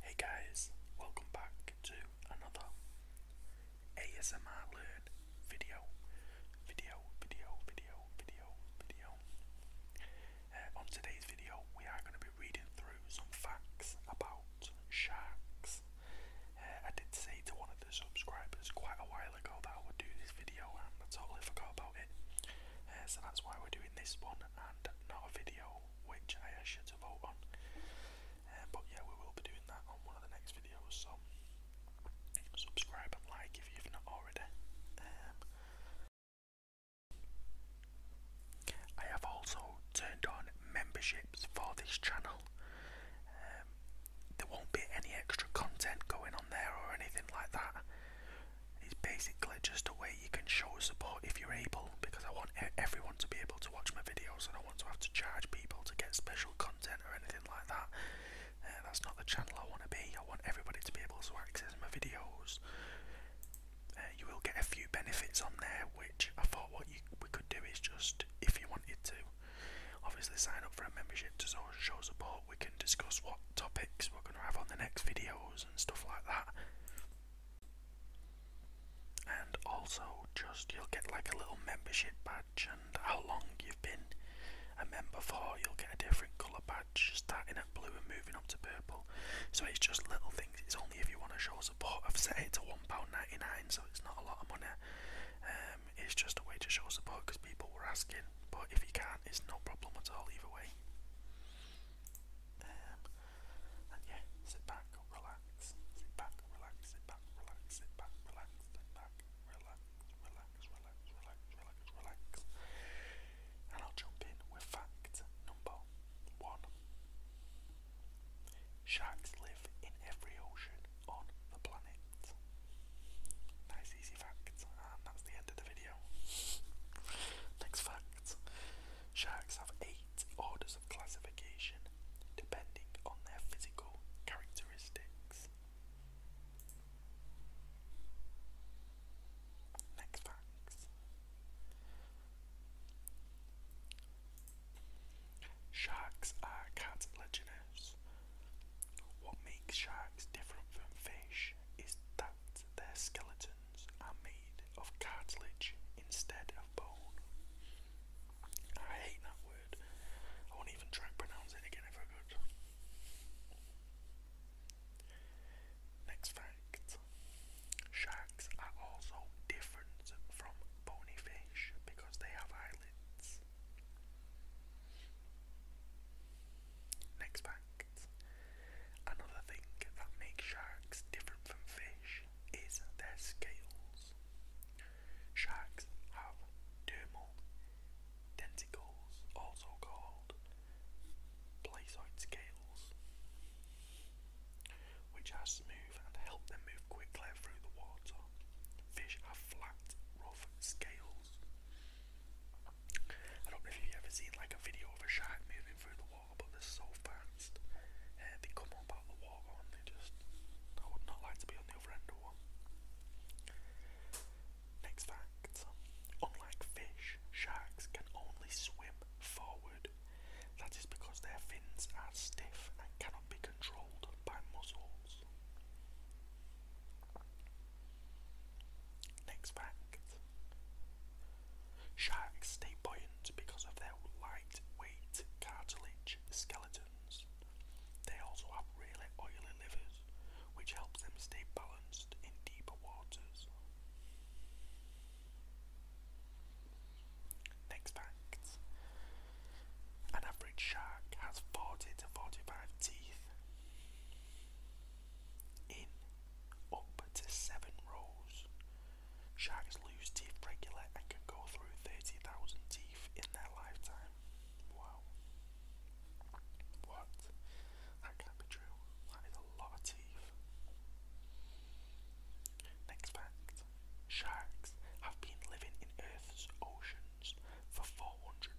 Hey guys, welcome back to another ASMR Learn video. Video, video, video, video, video. Uh, on today's video, we are going to be reading through some facts about sharks. Uh, I did say to one of the subscribers quite a while ago that I would do this video, and I totally forgot about it. Uh, so that's why we're doing this one and not a video which I asked to vote on. Um, but yeah, we will be doing that on one of the next videos, so subscribe and like if you've not already. Um, I have also turned on memberships for this channel. Um, there won't be any extra content going on there or anything like that. It's basically just a way you can show support if you're able because I want everyone to be able to watch my videos. and I want to have to charge people to get special content or anything like that. Uh, that's not the channel I want to be. I want everybody to be able to access my videos. Uh, you will get a few benefits on there, which I thought what we could do is just if you wanted to, obviously sign up for a membership to show support. We can discuss what topics we're going to have on the next videos and stuff like that. And also, just you'll get like a little membership badge and how long you've been a member for. You'll get a different colour badge starting at blue and moving up to purple. So it's just little things, it's only if you want to show support. I've set it to £1.99, so it's not a lot of money. Um, it's just a way to show support because people were asking, but if you can't, it's no problem at all, either way and yeah, sit back, relax, sit back, relax, sit back, relax, sit back, relax, sit back, relax, relax, relax, relax, relax, relax. And I'll jump in with fact number one. Sharks live in every ocean on the planet. Nice easy fact, and that's the end of the video. Next fact. Sharks have eight orders of classification depending on their physical characteristics. Next facts. Sharks are cartilaginous. What makes sharks different from fish is that their skeleton are made of cartilage instead of bone. I hate that word. I won't even try and pronounce it again if I Next fact sharks are also different from bony fish because they have eyelids. Next fact Another thing that makes sharks different from fish is their scales. Sharks have dermal tentacles, also called placoid scales, which are smooth and help them move quickly through the water. Fish have flat, rough scales. I don't know if you've ever seen like a video of a shark moving through the water but they're so fast. they come up out the water and they just. I would not like to be on the other end of one. Next fact unlike fish, sharks can only swim forward. That is because their fins are stiff and cannot be controlled by muscles. Next fact Sharks stay buoyant because of their lightweight cartilage skeletons. They also have really oily livers, which helps them stay balanced in deeper waters. Next fact. An average shark has 40 to 45 teeth in up to seven rows. Sharks lose teeth regularly and can go through 30,000 teeth in their lifetime. Wow. What? That can't be true. That is a lot of teeth. Next fact sharks have been living in Earth's oceans for 450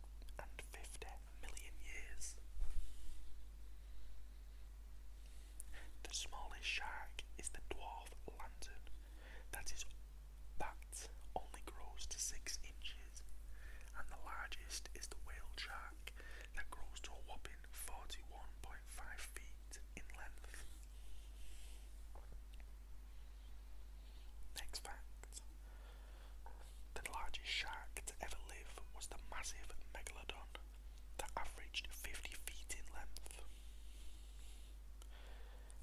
million years. The smallest shark is the dwarf lantern. That is that only grows to six inches. And the largest is the whale shark that grows to a whopping 41.5 feet in length. Next fact. The largest shark to ever live was the massive megalodon that averaged 50 feet in length.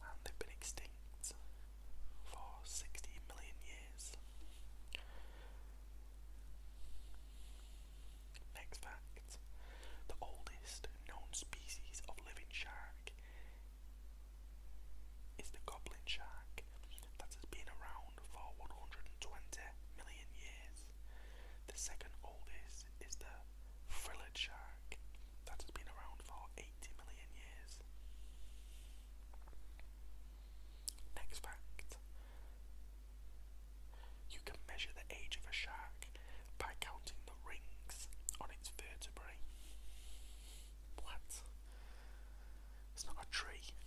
And they've been extinct for 60 million years. Next fact the oldest known species of living shark is the goblin shark that has been around for 120 million years. The second oldest is the frilled shark that has been around for 80 million years. Next fact you can measure the age of a shark by counting the rings on its vertebrae. What? It's not a tree.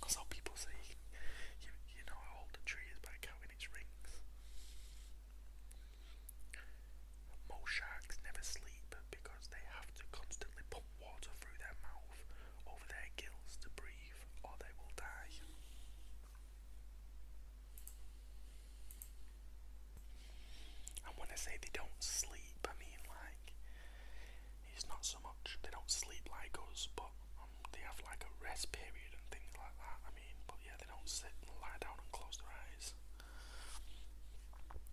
That's how people say you, you, know how old a tree is by counting its rings. Most sharks never sleep because they have to constantly pump water through their mouth over their gills to breathe or they will die. And when I say they don't sleep, I mean like it's not so much they don't sleep like us, but um, they have like a rest period and things like that. I mean, but yeah, they don't sit and lie down and close their eyes. Um,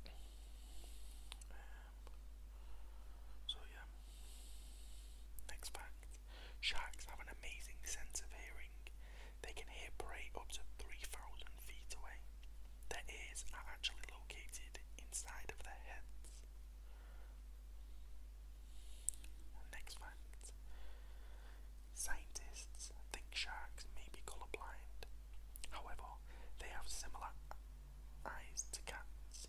so yeah. Next fact: Sharks have an amazing sense of hearing. They can hear prey up to 3,000 feet away. Their ears are actually located inside of their heads. Next fact Scientists think sharks may be colorblind. However, they have similar eyes to cats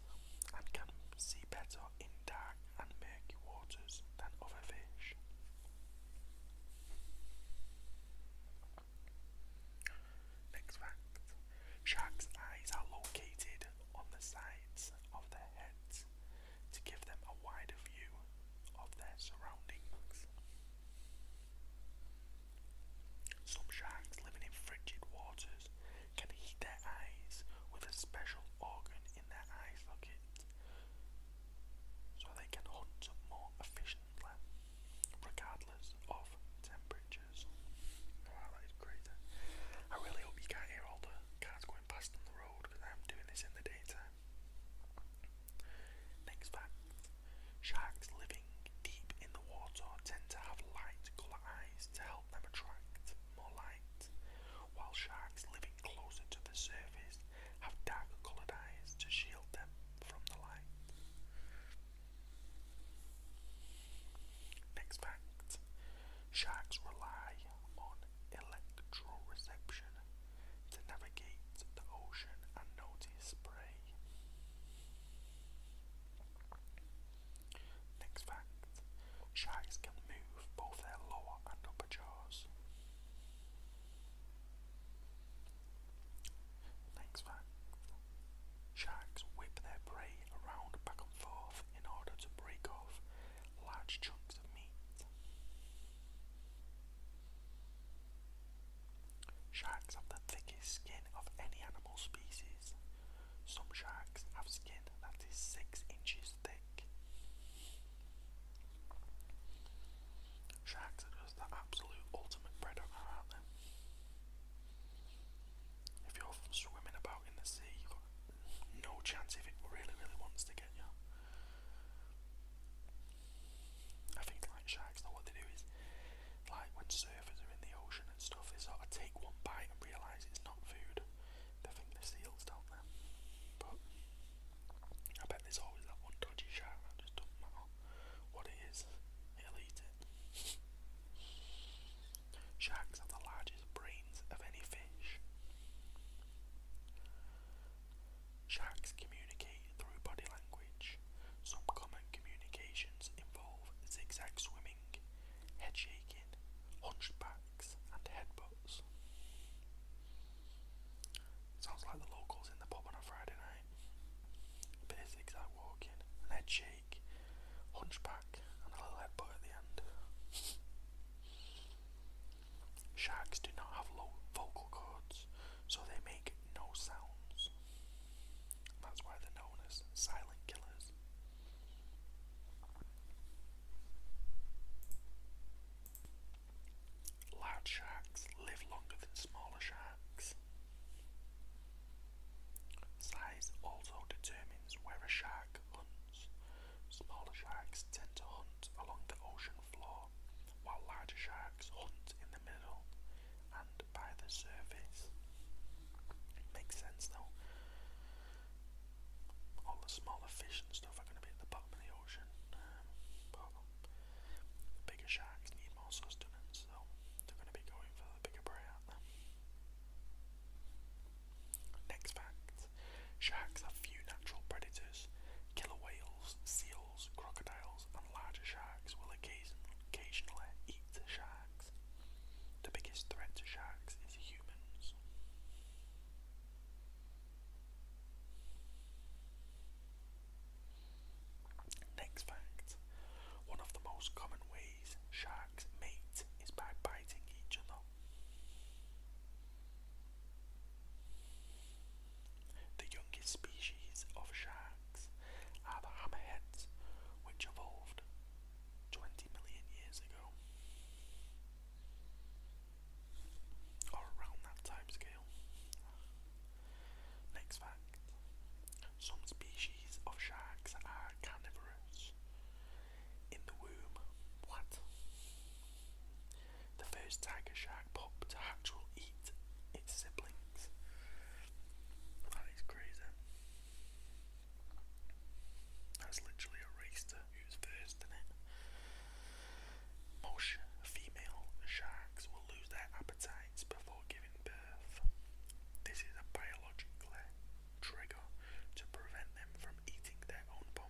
and can see better in dark and murky waters than other fish. Next fact Sharks' eyes are located on the sides of their heads to give them a wider view of their surroundings. Some sharks living in frigid waters can heat their eyes with a special organ in their eye so they can hunt more efficiently regardless of temperature. Next fact sharks living deep in the water tend to have light colored eyes to help them attract more light, while sharks living closer to the surface have dark coloured eyes to shield them from the light. Next fact sharks rely on electroreception to navigate the ocean and notice prey. Next fact sharks can move both their lower and upper jaws. Next fact sharks whip their prey around back and forth knife in order to break off large chunks of meat. Sharks have the thickest skin of any animal species. Some sharks have skin that is 6 inches thick. Sharks are just the absolute ultimate predator, aren't they? If you're swimming about in the sea, you've got no chance if it really, really wants to get you. I think like sharks, Not what they do is, like when surfers are in the ocean and stuff, they sort of take one bite and realise it's not food. They think the seals don't them. But I bet there's always that one dodgy shark I just do not know what it is, it'll it. Sharks have the largest brains of any fish. Sharks communicate through body language. Some common communications involve zigzag swimming, head shaking, hunchbacks, and headbutts. Sounds like the locals in the pub on a Friday night. A zigzag walking, head shaking. Hunchback and a little headbutt at the end. Sharks do not have low vocal cords, so they make no sounds. That's why they're known as silent killers. Large sharks live longer than smaller sharks. Size also determines where a shark hunts. Smaller sharks tend to hunt along the ocean floor, while larger sharks hunt in the middle and by the surface. Makes sense though. All the smaller fish and stuff are going to be at the bottom of the ocean, but bigger sharks need more sustenance, so they're going to be going for the bigger prey, aren't Next fact sharks have few natural predators. Killer whales, seals, crocodiles, and larger sharks will occasionally eat sharks. The biggest threat to sharks is humans. Next fact one of the most common ways sharks mate is by biting each other. The youngest species of sharks are the hammerheads, which evolved 20 million years ago, or around that time scale. Next fact some species of sharks are carnivorous. In the womb, what? The first tiger shark pup will eat its siblings. That is crazy. That's literally a race who's first, it? Most female sharks will lose their appetites before giving birth. This is a biologically trigger to prevent them from eating their own pom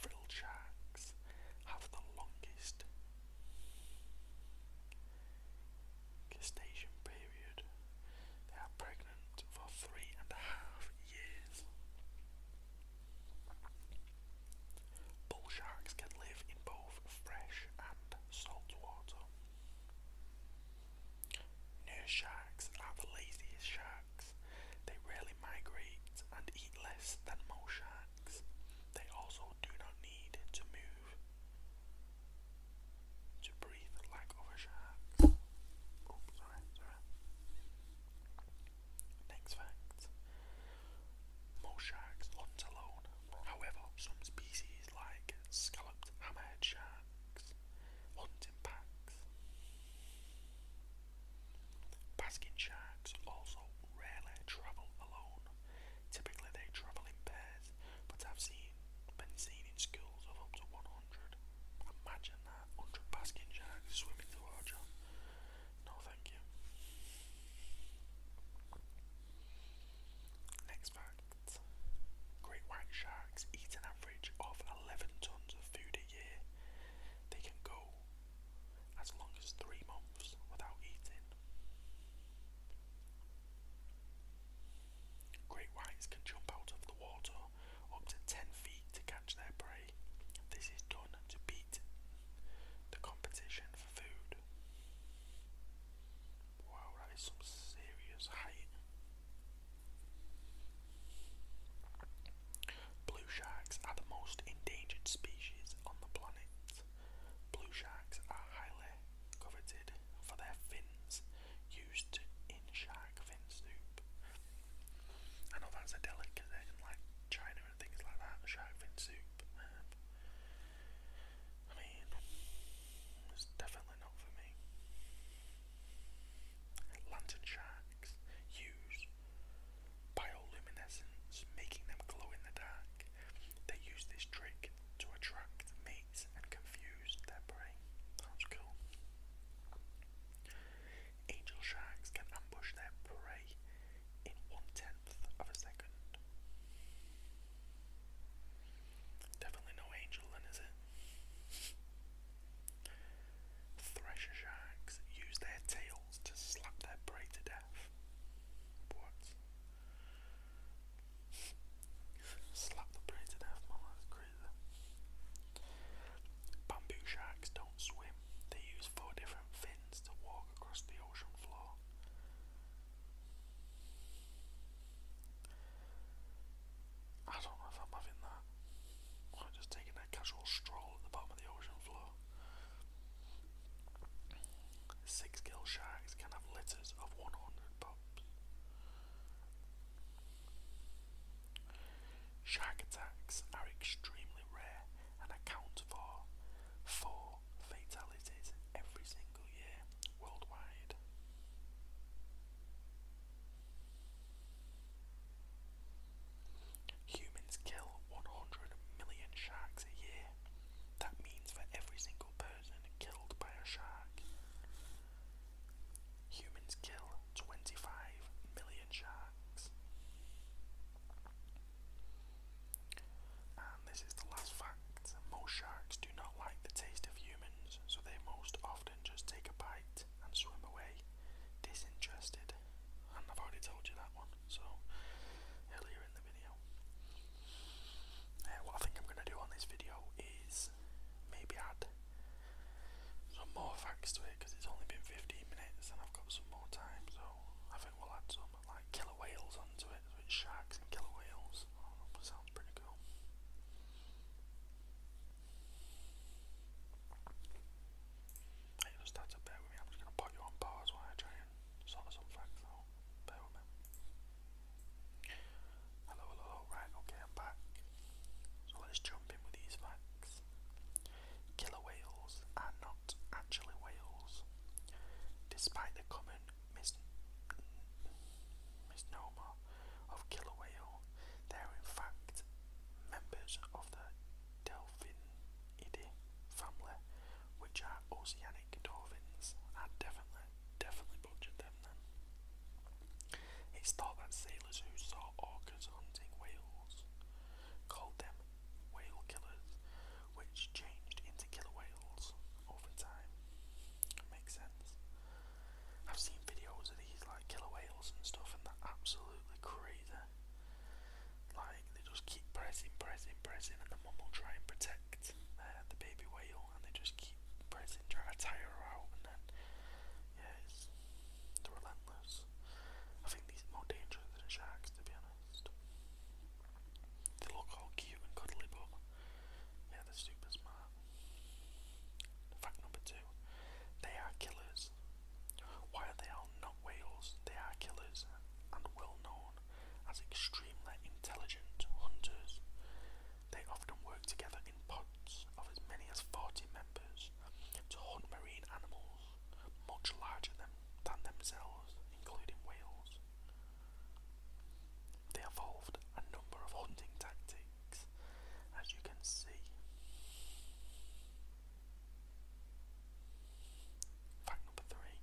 Frilled sharks have the longest gestation period. They are pregnant for three and a half years. Bull sharks can live in both fresh and salt water. Nurse sharks are the laziest sharks. They rarely migrate and eat less than most sharks. They also do not need to move to breathe like other sharks. Oops, sorry, sorry. Next fact. Most sharks hunt alone. However, some species like scalloped hammerhead sharks hunt in packs. Basking sharks also rarely travel alone. Typically they travel in pairs, but I've seen been seen in schools of up to 100. Imagine that, 100 basking sharks swimming towards you. No, thank you. Next fact Great white sharks eat an average of 11 tons of food a year. They can go as long as three months without eating. Great whites can jump out of the water up to 10 feet to catch their prey. This is done to beat the competition food. Wow, that is some serious height. Blue sharks are the most endangered species on the planet. Blue sharks are highly coveted for their fins used in shark fin soup. I know that's a delicacy in like China things like that, shark fin soup. Um, I mean, it's definitely not for me. Lantern sharks use bioluminescence, making them glow in the dark. They use this trick to attract mates and confuse their prey. That's cool. Angel sharks can ambush their prey in one ten Definitely no angel then, is it? Thresher sharks use their tails to slap their prey to death. What? Slap the prey to death, man, that's Bamboo sharks don't swim, they use four different fins to walk across the I don't know if I'm having that. I'm just taking a casual stroll at the bottom of the ocean floor. Six gill sharks can have litters of 100 pups. Shark attacks are extremely rare and account for four fatalities every single year worldwide. Humans kill 100 million sharks a year. That means for every single person killed by a shark. Humans kill 25 million sharks. And this is the last fact most sharks do not like the taste of humans, so they most often just take a bite and swim away, disinterested. And I've already told you that one, so earlier in the video. Uh, what I think I'm going to do on this video is maybe add some more facts to it because it's only been 15 minutes and I've got some more time, so I think we'll add some like killer whales onto it, with sharks and killer whales. Oh, sounds pretty cool. just had to bear with me. I'm just gonna put you on pause while I try and sort some facts out. Bear with me. Hello, hello, Right, okay, I'm back. So let's jump in with these facts. Killer whales are actually Wales. Despite the common misnomer of killer whale, they are in fact members of the Delphinidae family, which are oceanic dolphins. I definitely, definitely butchered them then. It's thought that sailors who saw orcas hunting whales called them whale killers, which changed into killer whales over time. Makes sense. I've seen videos of these like killer whales and stuff, and they're absolutely crazy. Like they just keep pressing, pressing, pressing, and the mum try and protect uh, the baby whale, and they just keep pressing, trying to tire her out, and then yeah, it's relentless. I think these are more dangerous than sharks, to be honest. They look all cute and cuddly, but yeah, they're super smart. Fact number two they are killers. While they are not whales, they are killers and well known as extremely intelligent hunters. They often work together in pods of as many as 40 members to hunt marine animals much larger than than themselves, including whales. They evolved a number of hunting tactics, as you can see. Fact number three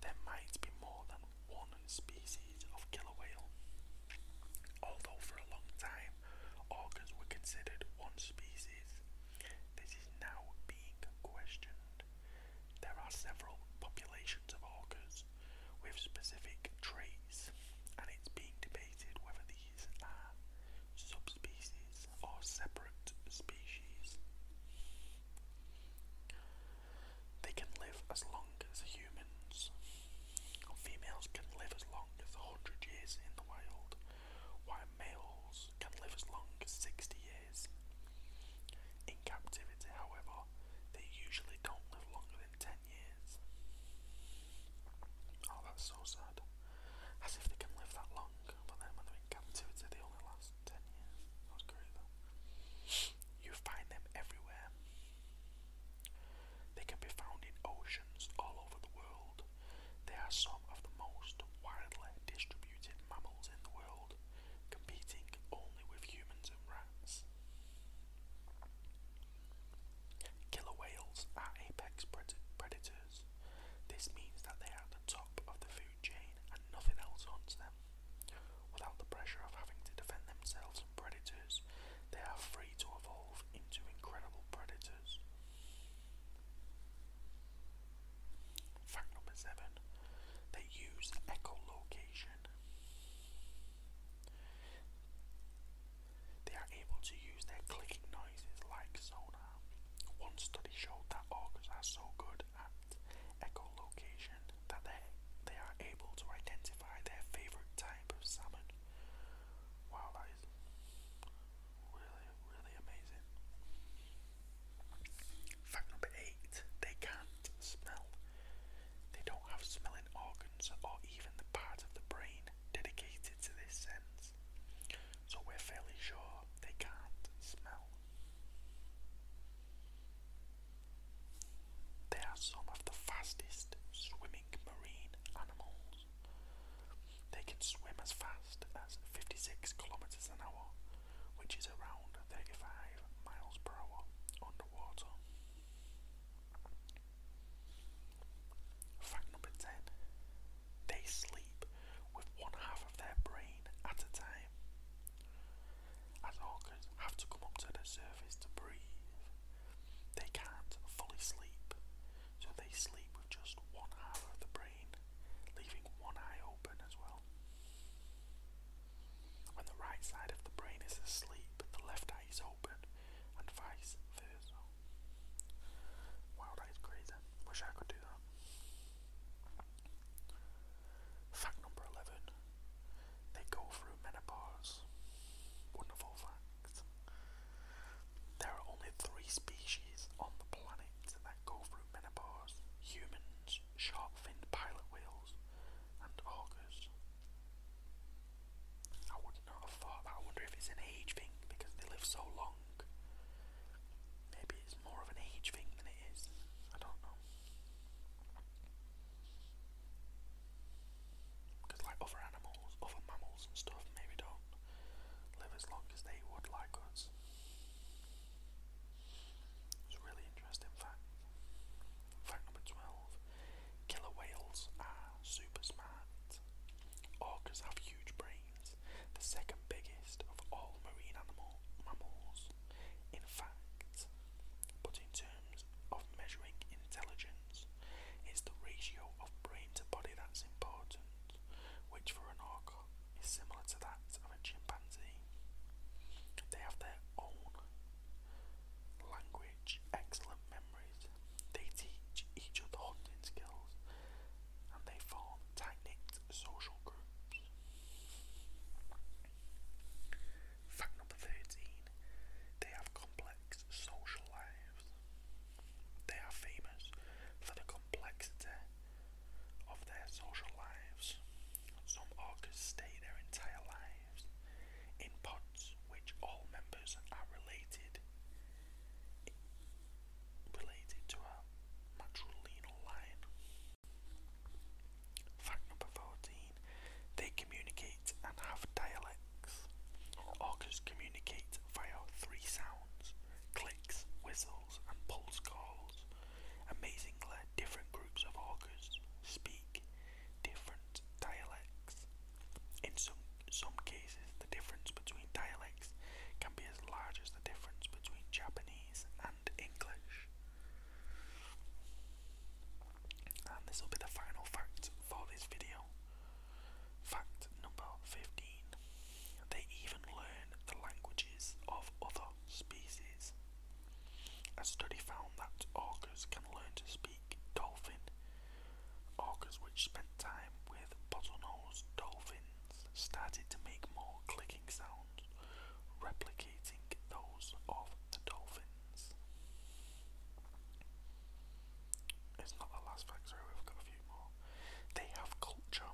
there might be more than one species of killer whale. Although for a long time orcas were considered one species, this is now being questioned. There are several populations of orcas with specific traits, and it's being debated whether these are subspecies or separate species. They can live as long as humans. Females can live as long as 100 years in the wild, why males can live as long as 60 years. In captivity, however, they usually don't live longer than 10 years. Oh, that's so sad. As if they can live that long, but then when they're in captivity, they only last 10 years. That's great though. You find them everywhere. They can be found in oceans all over the world, they are some of the most widely distributed mammals in the world, competing only with humans and rats. Killer whales are apex predators. This means that they are at the top of the food chain and nothing else hunts them. Without the pressure of having to defend themselves from predators, they are free to evolve into incredible predators. Fact number seven, they use echolocation. They are able to use their clicking noises like sonar. One study showed that orcas are so good at echolocation that they, they are able to identify their favourite type of salmon. Wow, that is Fact number eight, they can't smell. They don't have smelling organs or even the part of the brain dedicated to this sense. So we're fairly sure they can't smell. They are some of the fastest swimming marine animals. They can swim as fast as 56 kilometers an hour, which is around 35 miles per hour underwater. Fact number 10 They sleep with one half of their brain at a time. As orcas have to come up to the surface to breathe, they can't fully sleep so they sleep with just one half of the brain, leaving one eye open as well. When the right side of the brain is asleep, the left eye is open, and vice versa. Wow, that is crazy. Wish I could do that. Fact number 11 they go through menopause. Wonderful facts. There are only three species on the planet that go through menopause humans, sharp finned pilot whales, and orcas. I would not have thought I wonder if it's an age thing because they live so long. Maybe it's more of an age thing than it is. I don't know. Because, like other animals, other mammals and stuff, maybe don't live as long as they would like us. It's a really interesting fact. Fact number 12 Killer whales are super smart. Orcas have huge brains, the second biggest of all marine animal mammals. In fact, but in terms of measuring intelligence, it's the ratio of brain to body that's important, which for an orca is similar to that of a chimpanzee. They have their own language, excellent memories, they teach each other hunting skills, and they form tight knit social groups. Fact number 13 They have complex social lives. They are famous for the complexity of their social lives. Some orcas stay their entire lives in pods which all members are related related to a matrilineal line. Fact number 14. They communicate and have dialects. Orcas communicate via three sounds, clicks, whistles Ethels, and Polskarls. Amazingly, different groups of augurs speak different dialects. In some, some cases, the difference between dialects can be as large as the difference between Japanese and English. And this will be the final fact for this video. Fact number 15. They even learn the languages of other species. A study found that orcas can learn to speak dolphin. Orcas which spent time with bottlenose dolphins started to make more clicking sounds, replicating those of the dolphins. It's not the last fact, sorry, they have culture.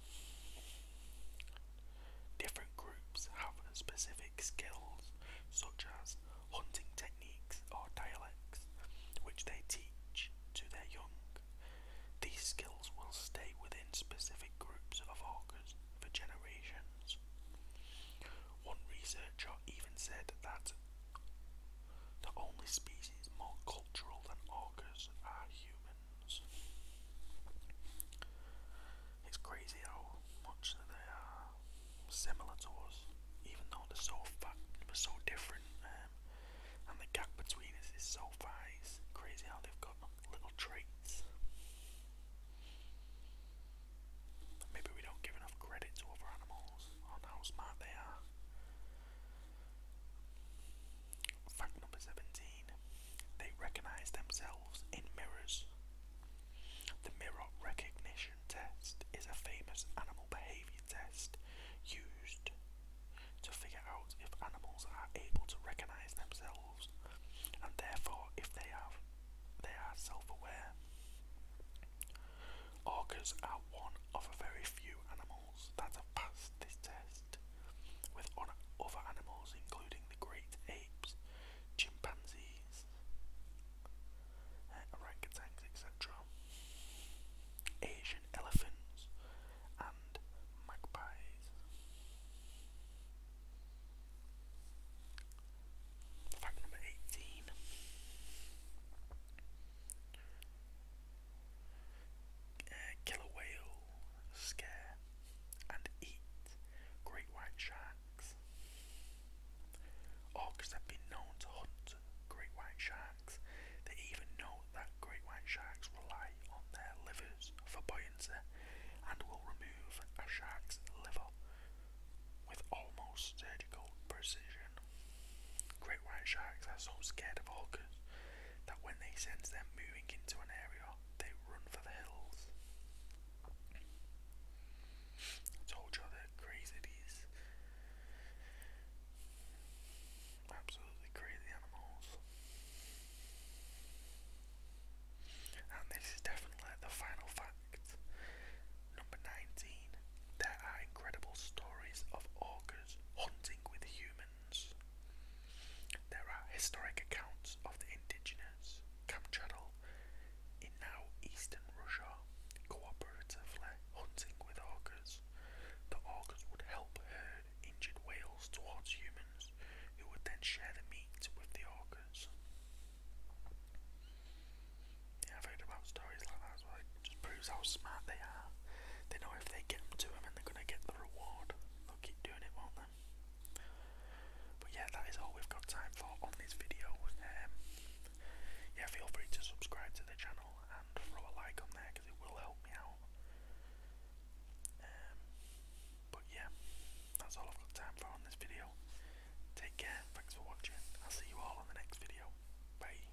Different groups have specific skills, such as hunting techniques or dialects, which they teach to their young. These skills will stay within specific groups of orcas for generations. One researcher even said that the only species more cultural than orcas are humans. It's crazy how much they are similar to us, even though they're so far, they're so different, um, and the gap between us is so far. crazy how they've got little traits. Maybe we don't give enough credit to other animals on how smart they are. Fact number 17 They recognize themselves in mirrors. The mirror recognition test is a famous animal behavior test used to figure out if animals are able to recognize themselves and therefore if they are they are self-aware. Orcas are one of a very few animals animals that have passed this test, with other animals including the great apes, chimpanzees, uh, orangutans, etc., Asian elephants, and magpies. Fact number 18. Uh, killer whale scare and eat great white sharks. Orcas oh, have been known to hunt great white sharks. They even know that great white sharks rely on their livers for buoyancy and will remove a shark's liver with almost surgical precision. Great white sharks are so scared of orcas that when they sense them moving into an area, they run for the hills. told you they crazy these absolutely crazy animals. And this is definitely the final fact. Number 19. There are incredible stories of orcas hunting with humans. There are historic accounts of the indigenous Kamchatal in now eastern Russia cooperatively hunting with orcas. The orcas would help herd injured whales towards humans, who would then share the meat with the orcas. Yeah, I've heard about stories like that just proves how smart they are. They know if they get to them and they're going to get the reward. They'll keep doing it, won't they? But yeah, that is all we've got time for on this video. Um, yeah, feel free to subscribe to the channel and throw a like on there because it will help me out. Um, but yeah, that's all I've got time for on this video. Take care, thanks for watching. I'll see you all on the next video. Bye.